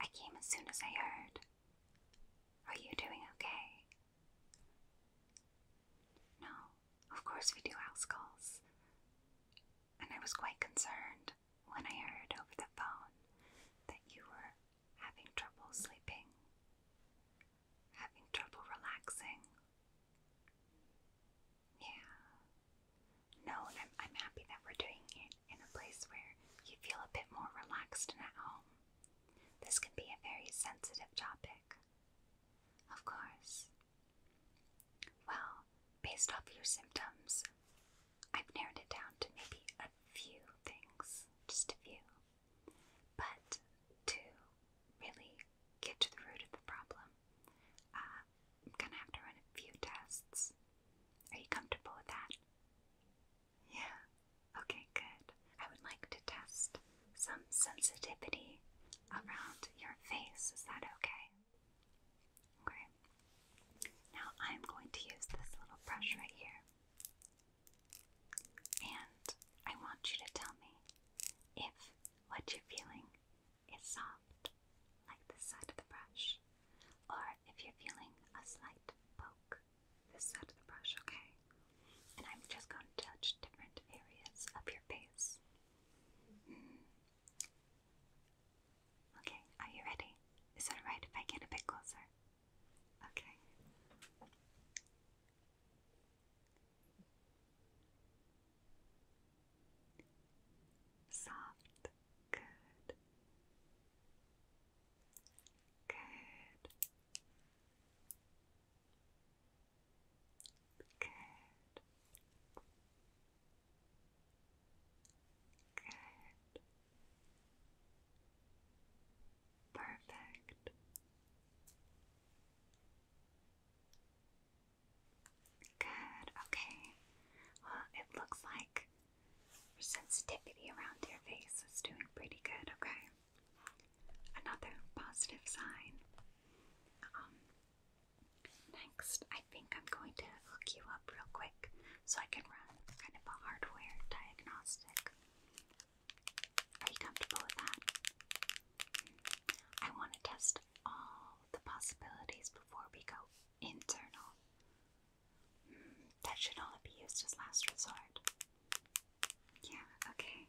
I came as soon as I heard. Are you doing okay? No, of course we do house calls. And I was quite concerned when I heard over the phone that you were having trouble sleeping, having trouble relaxing. Yeah, no, I'm, happy that we're doing it in a place where you feel a bit more relaxed and at home. This can be a very sensitive topic. Of course. Well, based off your symptoms, I've narrowed it down to maybe a few things, just a few. But to really get to the root of the problem, uh, I'm gonna have to run a few tests. Are you comfortable with that? Yeah. Okay, good. I would like to test some sensitivity around your face. Is that okay? Okay. Now I'm going to use this little brush right here. And I want you to tell me if what you're feeling it's soft, like this side of the brush, or if you're feeling a slight poke, this side of the brush, okay? And I'm just going to touch different areas of your face. Mm. Okay, are you ready? Is it alright if I get a bit closer? Okay. Soft. Good. Good. Good. Good. Perfect. Good, okay. Well, it looks like sensitivity around your face is doing pretty good, okay? Another positive sign. Um, next, I think I'm going to hook you up real quick so I can run kind of a hardware diagnostic. Are you comfortable with that? I want to test all the possibilities before we go internal. Hmm, that should only be used as last resort. Yeah, okay.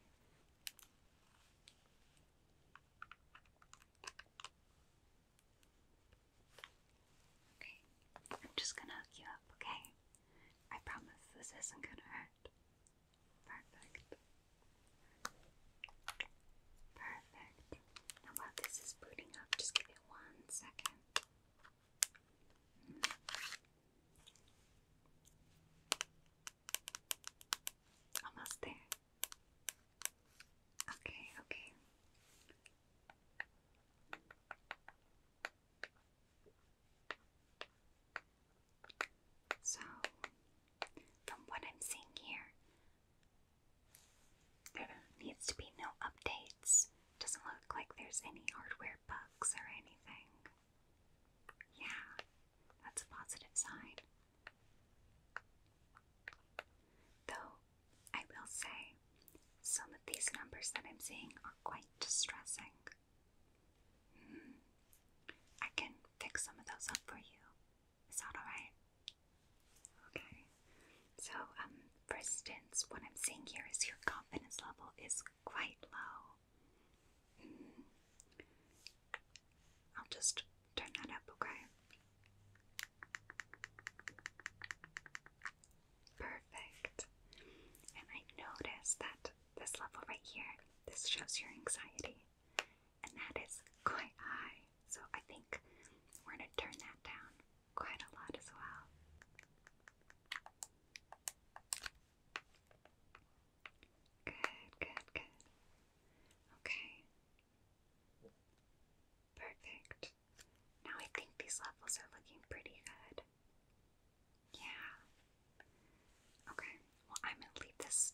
Okay, I'm just gonna hook you up, okay? I promise this isn't gonna hurt. Perfect. Perfect. Now while this is booting up, just give it one second. Almost there. Okay, okay. So, from what I'm seeing here, there needs to be no updates. Doesn't look like there's any hardware bugs or anything. Yeah, that's a positive sign. Though, I will say, some of these numbers that I'm seeing are quite distressing. Hmm. I can fix some of those up for you. Is that alright? Okay, so um, for instance, what I'm seeing here is your confidence level is quite low. Mm. I'll just turn that up, okay? Perfect. And I notice that this level right here, this shows your anxiety and that is quite high. So I think we're going to turn that down quite a lot as well. Good, good, good. Okay. Perfect. Now I think these levels are looking pretty good. Yeah. Okay, well, I'm going to leave this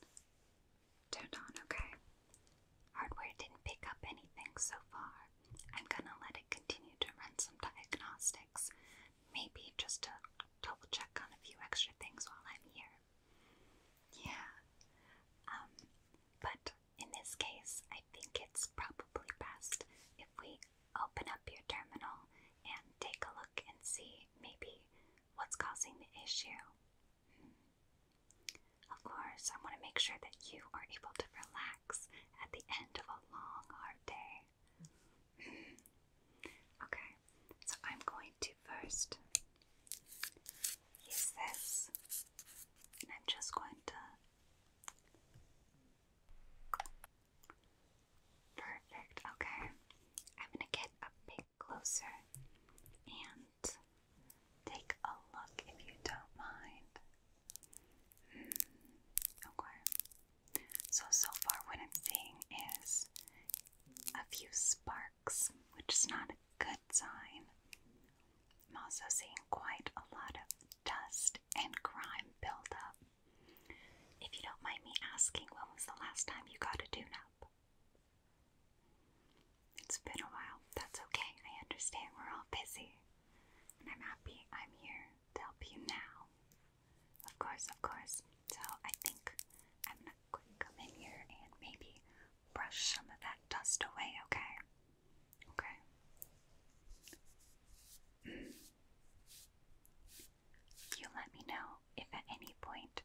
turned on, okay? Hardware didn't pick up anything so far. I'm gonna let it continue to run some diagnostics, maybe just to double check on a few extra things while I'm here. Yeah. Um, but in this case, I think it's probably best if we open up your terminal and take a look and see maybe What's causing the issue? Hmm. Of course, I want to make sure that you are able to relax at the end of a long, hard day. Hmm. Okay, so I'm going to first use this, and I'm just going to. Perfect, okay. I'm gonna get a big closer and take a look if you don't mind. Mm, okay. So, so far, what I'm seeing is a few sparks, which is not a good sign. I'm also seeing quite a lot of dust and grime buildup. If you don't mind me asking, when was the last time you got a tune up? It's been a while. That's okay. I understand we're all busy. And I'm happy I'm here to help you now. Of course, of course. So I think I'm gonna quick come in here and maybe brush some of that dust away, okay? Okay. You let me know if at any point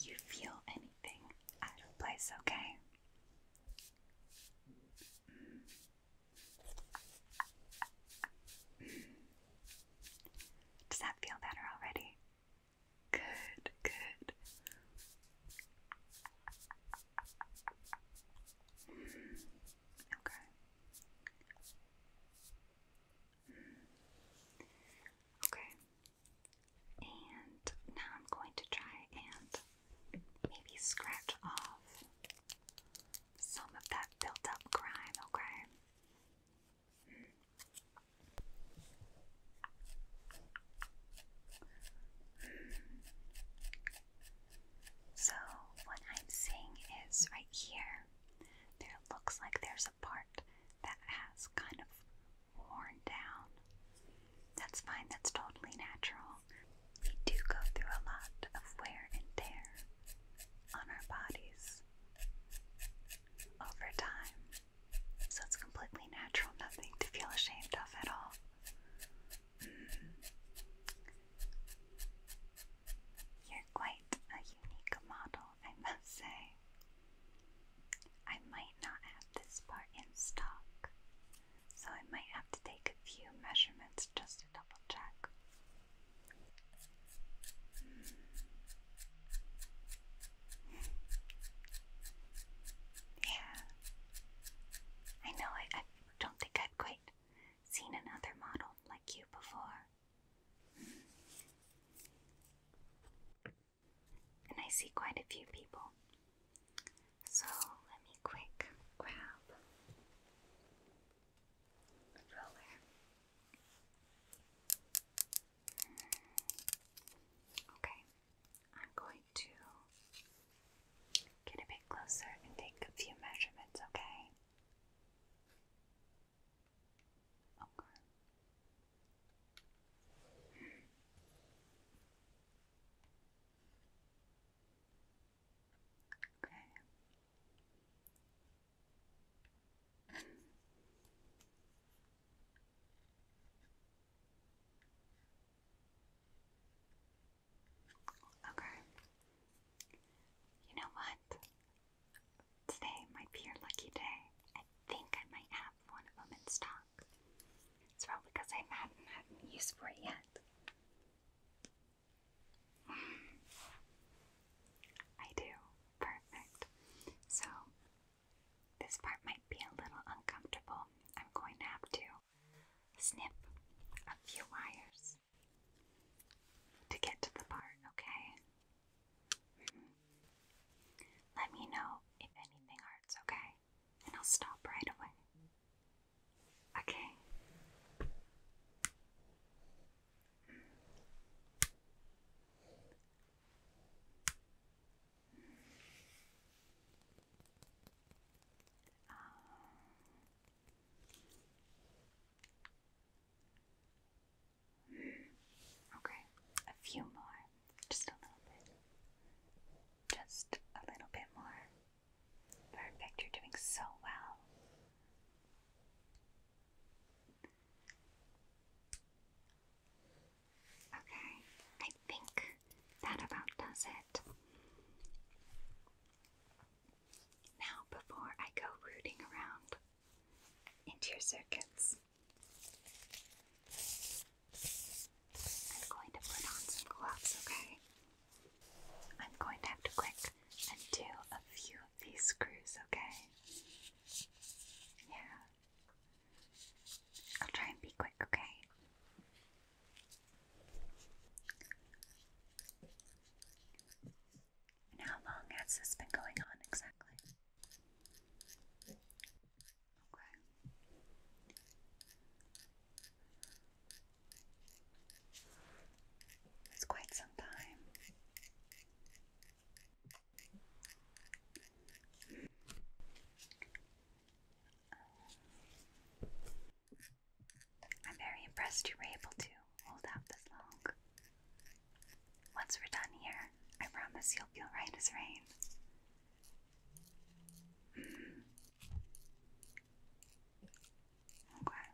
you feel anything out of place, okay? Mm. Does that feel better already? Good, good. Mm. Okay. Okay. And now I'm going to try and maybe scratch off some of that built up grime, okay? So, what I'm seeing is right here, there looks like there's a part that has kind of worn down. That's fine, that's totally natural. We do go through a lot of wear and tear on our bodies over time. So it's completely natural, nothing to feel ashamed of at all. Mm-hmm. You're quite a unique model, I must say. I might not have this part in stock, so I might have to take a few measurements just to double check. Hmm. yeah. I know I, I don't think I've quite seen another model like you before. And I see quite a few people. So let me quick grab a roller. Okay, I'm going to get a bit closer and take a few measurements, okay? Okay. Okay. Okay. You know what? Today might be your lucky day. I think I might have one of them in stock. It's probably because I haven't had use for it yet. I do. Perfect. So, this part might be a little uncomfortable. I'm going to have to snip a few wires to get to the part, okay? Mm-hmm. Let me know if anything hurts, okay? And I'll stop right away. Okay. Mm-hmm. Um, Okay, a few more, just a little bit, just a little bit more. Perfect, you're doing so well. Okay, I think that about does it. Now, before I go rooting around into your circuits, I'm going to put on some gloves, okay? I'm going to have to click undo a few of these screws, okay? Yeah. I'll try and be quick, okay? And how long has this been going on exactly? Okay. It's quite some time. Um, I'm very impressed you were able to hold out this long. Once we're done here, I promise you'll feel right as rain. Mm. Okay.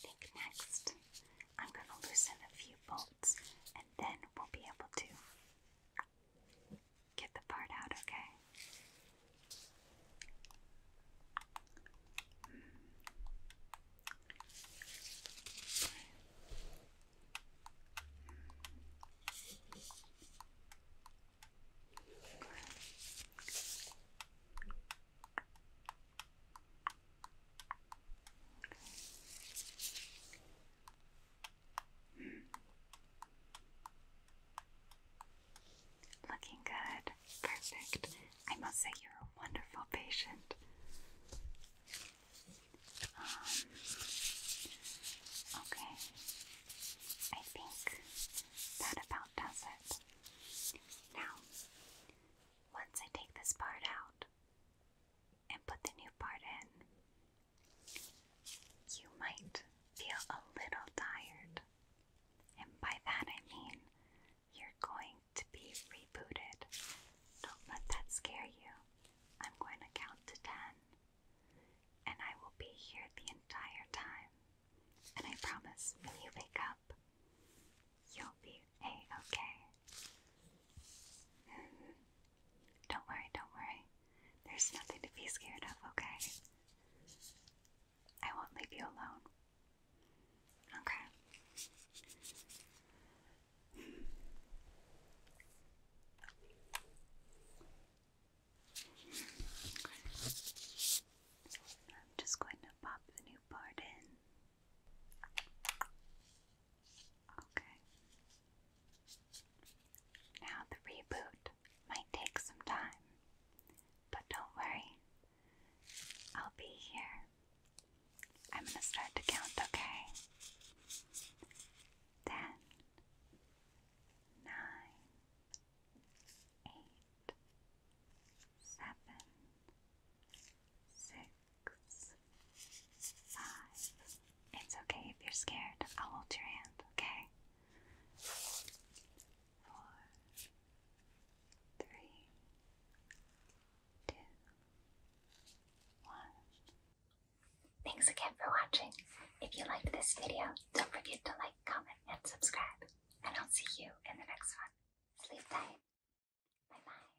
think next I'm going to loosen a few bolts and then we'll be able to get the part out, okay? Looking good. Perfect. I must say, you're a wonderful patient. Um, okay. I think that about does it. Now, once I take this part out, and put the new part in, you might feel a little tired. And by that I mean you're going to be rebooted. Don't let that scare you. I'm going to count to 10, and I will be here the entire time. And I promise when you wake up, you'll be a okay. Don't worry, don't worry. There's nothing to be scared of, okay? I won't leave you alone. Okay. I'm just going to pop the new part in. Okay. Now, the reboot might take some time, but don't worry, I'll be here. I'm gonna start to count, okay? Ten, nine, eight, seven, six, six, five. It's okay if you're scared. I'll hold your hand, okay? Four, three, two, one. Thanks again for watching. If you liked this video, don't forget to like, comment, and subscribe. And I'll see you in the next one. Sleep tight. Bye bye.